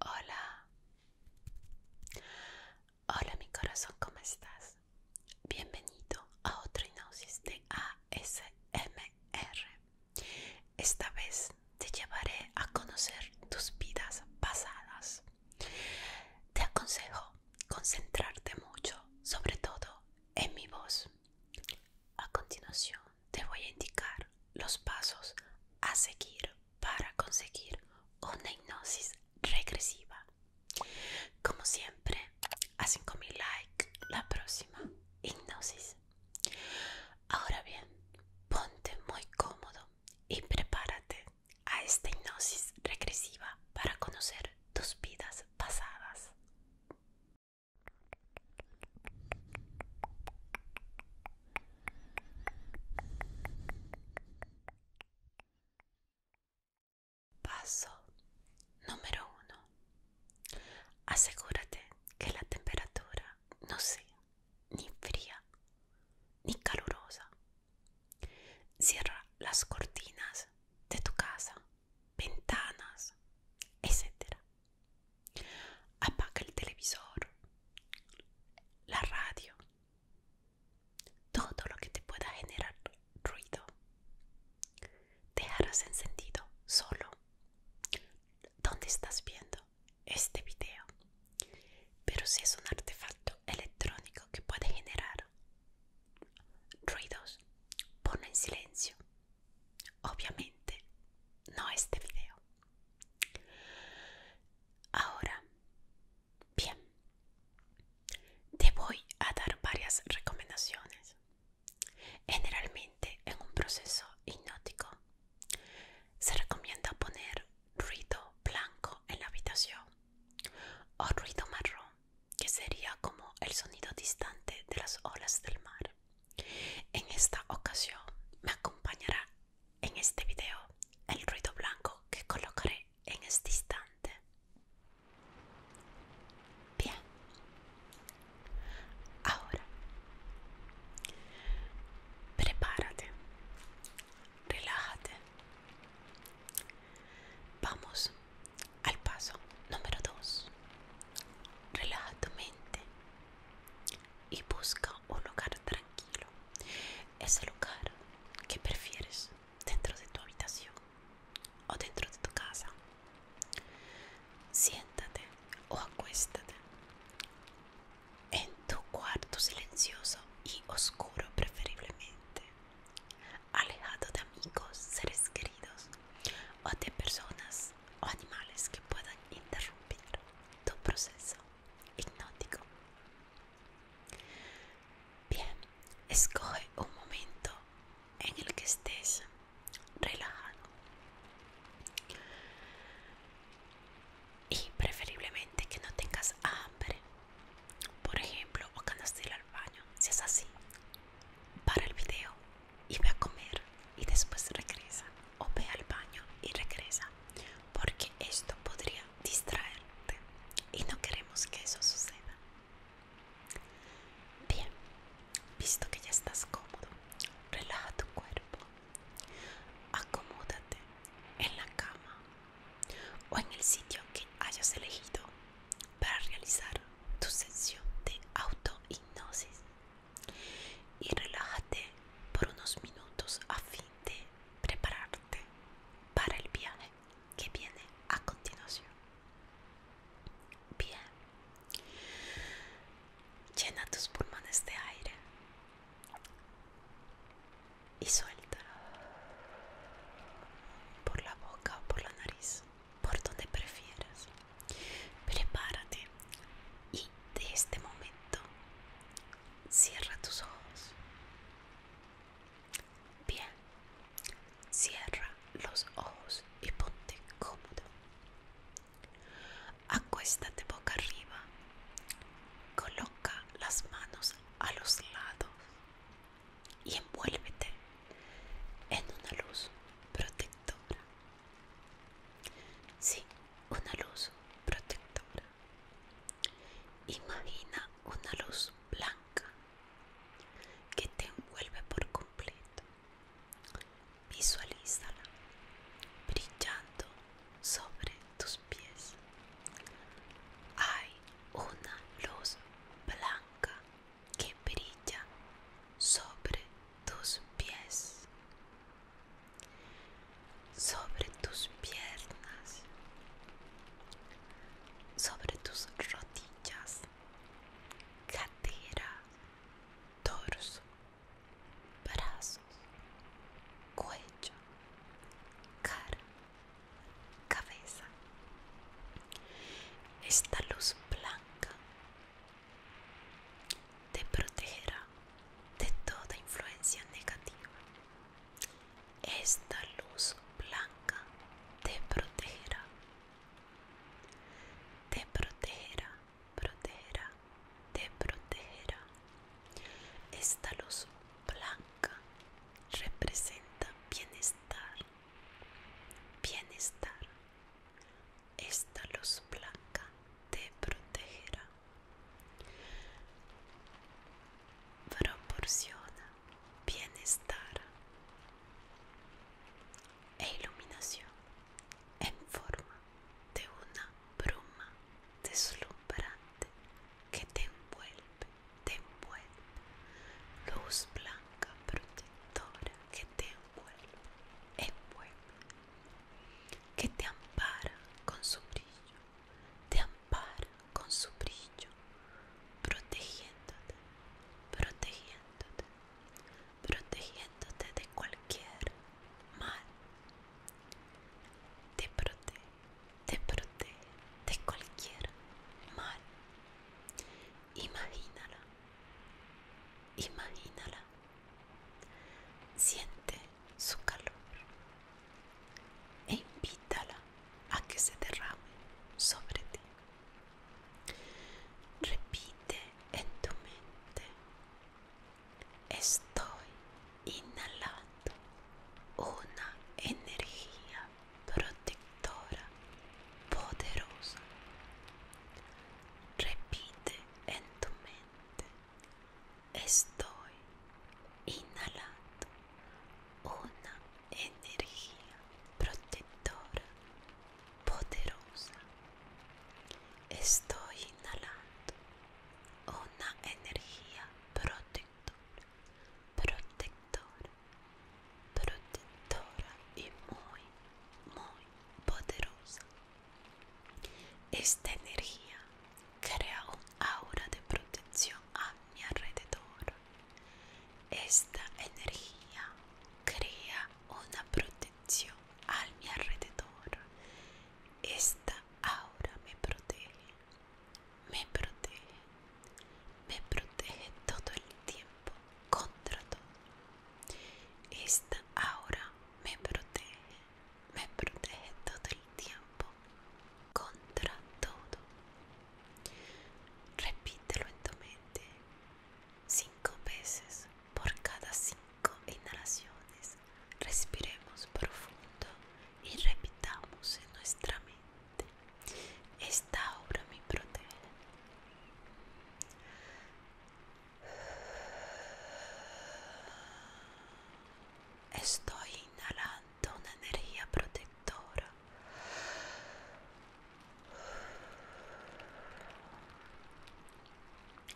Hola. Hola mi corazón, ¿cómo estás? Bienvenido a otro hipnosis de ASMR. Esta vez te llevaré a conocer tus vidas pasadas. Te aconsejo concentrarte mucho, sobre todo en mi voz. A continuación, te voy a indicar los pasos a seguir para conseguir una hipnosis regresiva. Como siempre, a 5000 like la próxima hipnosis. Ahora bien, ponte muy cómodo y prepárate a esta hipnosis regresiva para conocer tus vidas pasadas. Paso número uno. Asegúrate que la temperatura no sea ni fría ni calurosa. Cierra las cortinas de tu casa, ventanas, etc. Apaga el televisor, la radio, todo lo que te pueda generar ruido. Dejarás encendido solo donde estás viendo este video. Pero si es un artefacto electrónico que puede generar ruidos, ponlo en silencio. Obviamente, no este video. Ahora, bien, te voy a dar varias recomendaciones. Generalmente en un proceso hipnótico se recomienda poner ruido blanco en la habitación o ruido marrón, que sería como el sonido distante de las olas del mar. En esta ocasión me acompañará en este video el ruido blanco que colocaré en este instante. Bien. Ahora, prepárate, relájate. Vamos al paso número 2. Relaja tu mente y busca un lugar tranquilo. Ese lugar que prefieres dentro de tu habitación o dentro de tu casa. Siéntate o acuéstate en tu cuarto silencioso y oscuro preferiblemente, alejado de amigos, seres queridos o de personas o animales que puedan interrumpir tu proceso hipnótico. Bien, escoge un momento en el que estés relajado y preferiblemente que no tengas hambre, por ejemplo, o cuando estés al baño. Si es así, para el video y ve a comer y después regresa o ve al baño y regresa, porque esto podría distraerte y no queremos que eso suceda. Bien, visto que ya estás cómodo, relaja tu cuerpo, acomódate en la cama o en el sitio que hayas elegido para realizar tu sesión de autohipnosis y relájate por unos minutos a fin de prepararte para el viaje que viene a continuación. Bien, llena tus pulmones de aire y suelta por la boca o por la nariz, por donde prefieras. Prepárate y de este momento cierra tus ojos. Bien, cierra los ojos y ponte cómodo. Acuéstate boca arriba. Coloca las manos a los lados y envuélvete en una luz protectora. Sí, una luz protectora. Imagina una luz blanca que te envuelve por completo. Visualízala brillando sobre tus pies. Hay una luz blanca que brilla sobre tus pies sobre tus piernas, sobre tus rodillas, cadera, torso, brazos, cuello, cara, cabeza. Esta luz blanca te protegerá de toda influencia negativa. Esta luz blanca te protegerá. Te protegerá, protegerá, te protegerá. Esta luz blanca representa bienestar. Bienestar. Esta luz blanca te protegerá. Proporciona bienestar e iluminación en forma de una bruma deslumbrante que te envuelve, te envuelve, luz blanca protectora que te envuelve, envuelve, que te ampara con su brillo te ampara con su brillo, protegiéndote, protegiéndote, protegiéndote de cualquier mal. Te protege, te protege de cualquier mal. Imagínala, imagínala Siente su calor e invítala a que se derrame sobre ti. Repite en tu mente, estoy inhalando una energía protectora poderosa. Repite en tu mente, estoy inhalando una energía protectora poderosa. Estoy inhalando una energía protectora, protectora, protectora y muy, muy poderosa. Esta energía crea un aura de protección a mi alrededor. Esta energía crea una protección a mi alrededor. Esta aura me protege, me protege, me protege todo el tiempo contra todo. Esta aura me protege, me protege todo el tiempo contra todo. Repítelo en tu mente cinco veces por cada cinco inhalaciones. Respiremos profundo y repitamos en nuestra mente. Esta obra me protege. Estoy inhalando una energía protectora.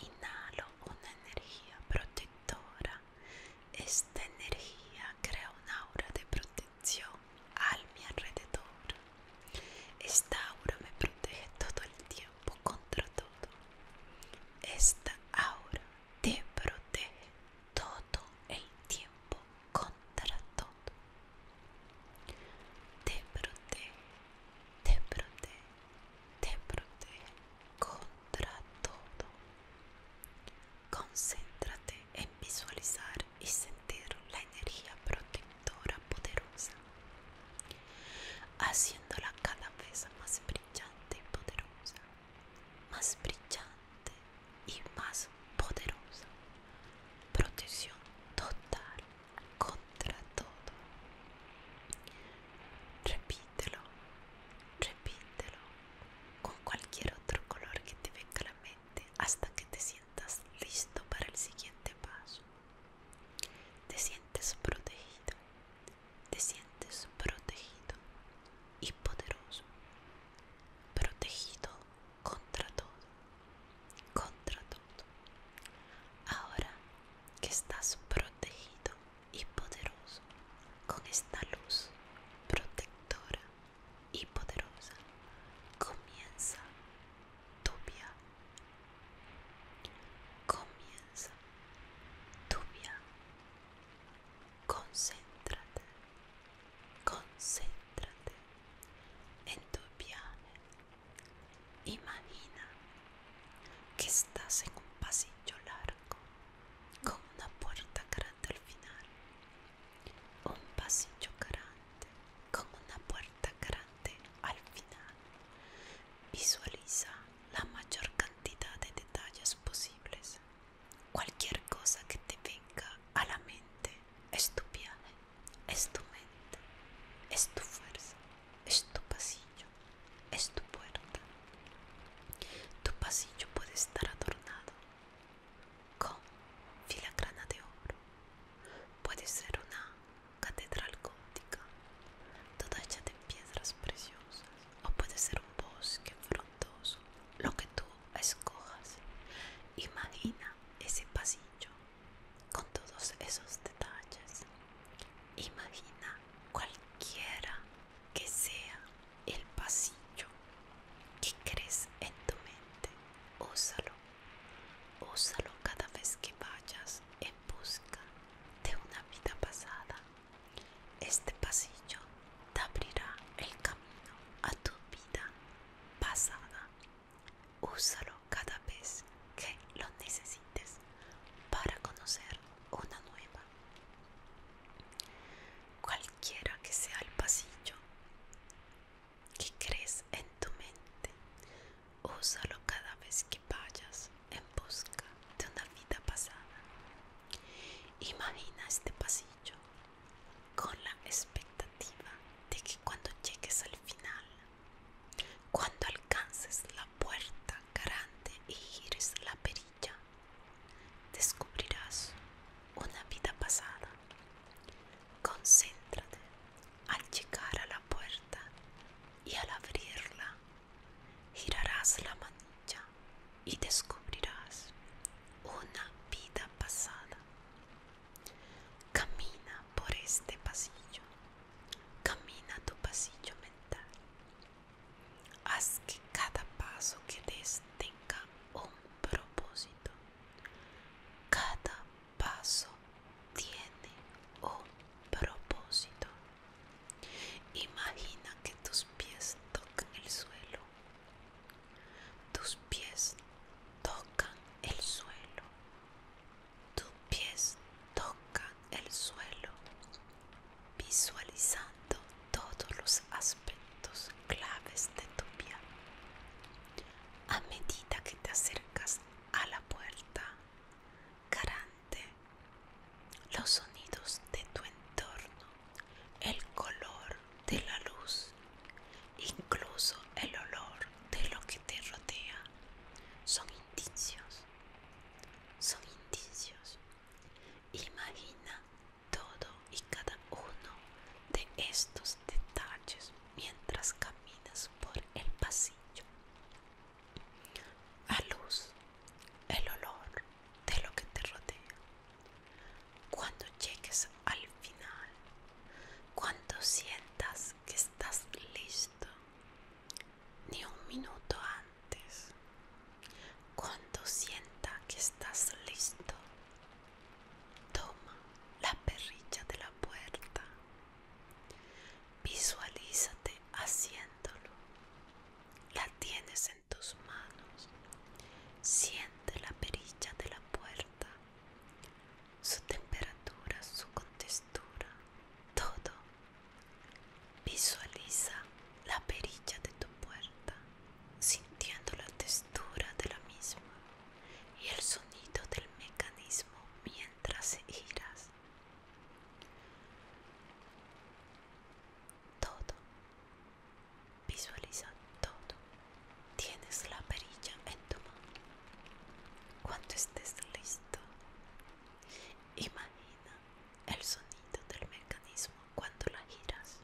Inhalo una energía protectora. Esta energía crea un aura de protección al mi alrededor. Esta aura me protege todo el tiempo contra todo. Esta aura te protege todo el tiempo contra todo. Te protege, te protege, te protege contra todo. Concéntrate en visualizar y sentir la energía protectora poderosa, haciéndola cada vez más brillante y poderosa más brillante y más poderosa, protección total contra todo. Repítelo, repítelo con cualquier otro color que te venga a la mente hasta que te sientas listo para el siguiente paso. Te sientes protegido, te sientes protegido y poderoso, protegido contra todo, contra todo. Ahora que estás protegido y poderoso con esta luz protectora y poderosa, comienza tu viaje. Comienza tu viaje Concéntrate, concéntrate en tu viaje. Imagina que estás en un pasillo largo con una puerta grande al final. Un pasillo grande con una puerta grande al final. Visualiza la mayor cantidad de detalles posibles. Cualquier cosa que te venga a la mente es tu viaje, es tu mente, es tu fuerza, es tu pasillo, es tu puerta. Tu pasillo puede estar adornado con filigrana de oro, puede ser una catedral gótica, toda hecha de piedras preciosas o puede ser un bosque frondoso, lo que tú escojas. Imagina ese pasillo con todos esos detalles. Imagina cualquiera que sea el pasillo que crees en tu mente. Úsalo, úsalo cada vez que vayas en busca de una vida pasada este pasillo te abrirá el camino a tu vida pasada. Úsalo cada vez que lo necesites para conocer una nueva. Cualquiera que sea el pasillo que crees en tu mente, úsalo cada vez que vayas en busca de una vida pasada. Imagina este pasillo con la expectativa de que cuando llegues al final, cuando alcances la puerta Garante y gires la perilla, descubrirás una vida pasada. Concéntrate al llegar a la puerta y al abrirla Girarás la manilla y descubrirás una vida pasada. Camina por este pasillo. Camina tu pasillo mental. Haz que cada paso que des tenga un propósito. Cada paso tiene un propósito. Imagina que tus pies tocan el suelo. Tus pies tocan el suelo. Tus pies tocan el suelo. Visualizando todos los aspectos claves de tu vida. A medida que te acercas a la puerta, garante los sonidos de tu entorno, el color de la luz, incluso el olor de lo que te rodea, son indicios, son indicios. Imagina todo y cada uno de estos detalles mientras caminas por el pasillo. La luz, el olor, de lo que te rodea. Cuando llegues al final, cuando sientas que estás listo, ni un minuto antes, cuando sienta que estás listo, toma la perrilla de la puerta, visualízate haciéndolo la tienes en tus manos. Siente la perilla de la puerta, su temperatura, su contextura, todo. Visualiza la perilla de tu puerta, sintiendo la textura de la misma y el sonido del mecanismo mientras giras todo. Visualiza todo. Tienes la perilla en tu mano. Cuando estés listo, imagina el sonido del mecanismo cuando la giras.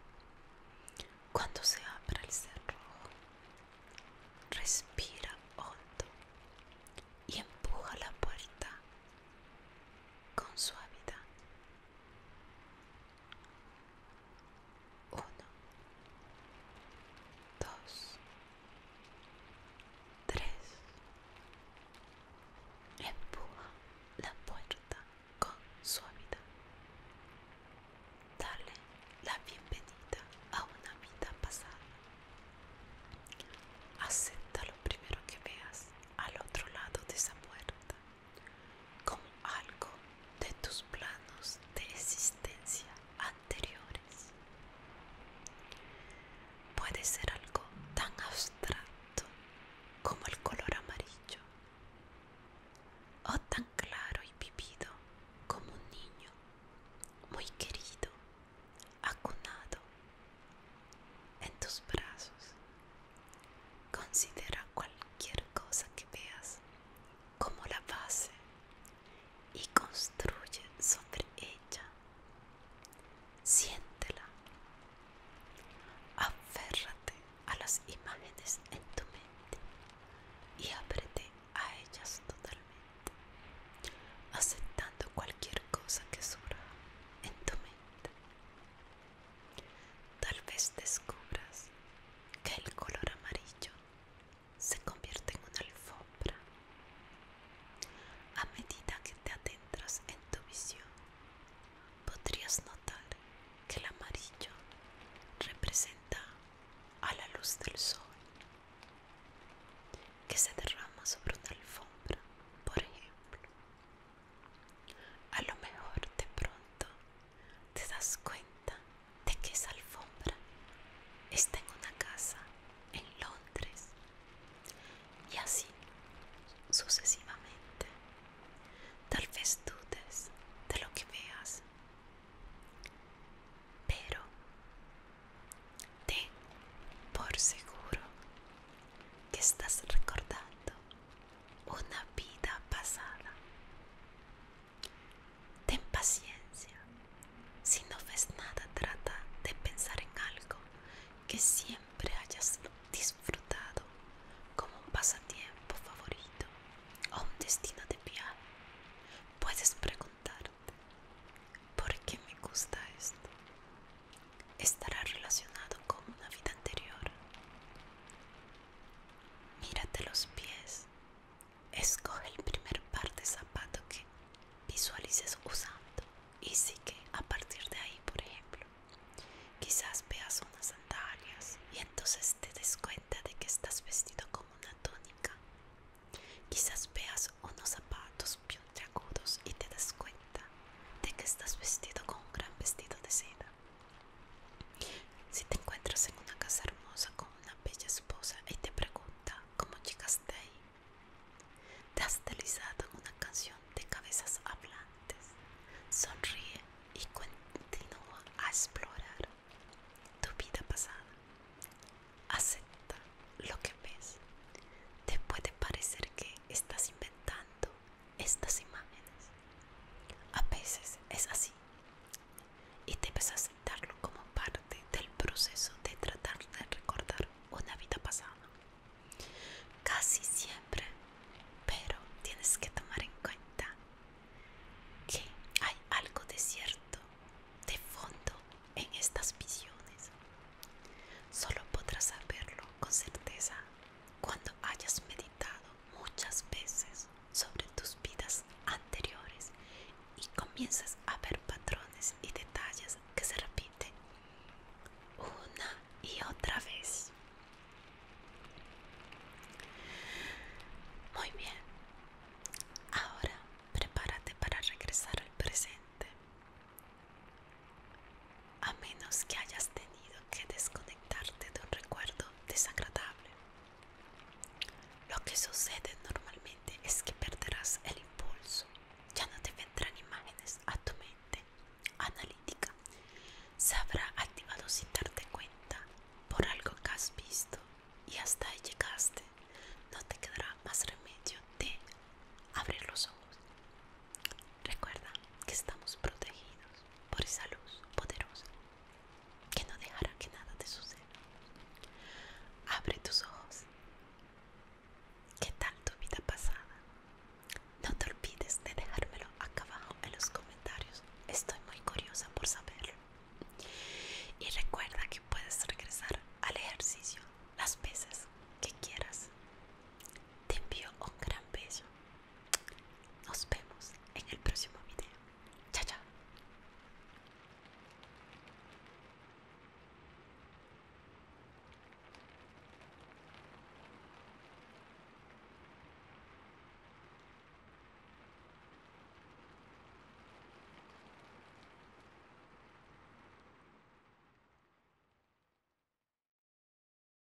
Cuando se abre el cerrojo, respira hondo y empuja la puerta con suavidad uno, dos, tres. Empuja la puerta con suavidad. Dale la bienvenida a una vida pasada. Acepta lo primero que veas al otro lado de esa puerta como algo de tus planos de existencia anteriores. Puede ser algo tan abstracto como el color amarillo o tan claro y vivido como un niño muy querido, acunado en tus brazos Considera cualquier cosa que veas como la base y construye sobre ella. Siéntela. Aférrate a las imágenes en tu mente y ábrete a ellas totalmente, aceptando cualquier cosa que surja en tu mente. Tal vez descubras que el color amarillo se convierte en una alfombra. A medida que te adentras en tu visión, podrías notar que el amarillo representa a la luz del sol que se derrama sobre una alfombra, por ejemplo. A lo mejor de pronto te das cuenta de que esa alfombra está en una casa en Londres y así sucesivamente. Tal vez dudes de lo que veas, pero te por seguro que estás recordando una vida pasada. Ten paciencia. Si no ves nada, trata de pensar en algo que siempre hayas disfrutado, como un pasatiempo favorito o un destino de viaje. Puedes preguntarte, ¿por qué me gusta esto? estará relacionado con una vida anterior. Mírate los pies. Escoge el primer par de zapatos que visualices usando y sigue a partir de ahí, por ejemplo. Quizás veas unas sandalias y entonces te des cuenta de que estás vestido como una túnica. Quizás veas unos zapatos puntiagudos y te das cuenta de que estás vestido con un gran vestido de seda. Si te encuentras en una casa hermosa con una bella esposa y te pregunta cómo llegaste te has deslizado en una canción de cabezas hablantes. Sonríe y continúa a explorar tu vida pasada. Acepta lo que ves. Te puede parecer que estás inventando estas imágenes. A veces es así y debes aceptarlo como parte del proceso de tratar de recordar una vida pasada. Casi siempre, pero tienes que tomar en cuenta que hay algo de cierto, de fondo en estas visiones. Solo podrás saberlo con certeza cuando hayas meditado muchas veces sobre tus vidas anteriores y comienzas a ver patrones y detalles que se repiten una y otra vez. Muy bien, ahora prepárate para regresar al presente a menos que hayas tenido que desconectarte de un recuerdo desagradable. Lo que sucede normalmente es que perderás el impulso, ya no te vendrán imágenes a tu mente analítica, se habrá activado sin darte cuenta por algo que has visto y hasta ahí llegaste, no te quedará más remedio de abrir los ojos. Recuerda que estamos protegidos por esa luz poderosa que no dejará que nada te suceda. Abre tus ojos. ¿Qué tal tu vida pasada? No te olvides de dejármelo acá abajo en los comentarios. Estoy muy curiosa por saberlo. Y recuerda que puedes regresar al ejercicio las veces que quieras te envío un gran beso. Nos vemos en el próximo video. Chao, chao.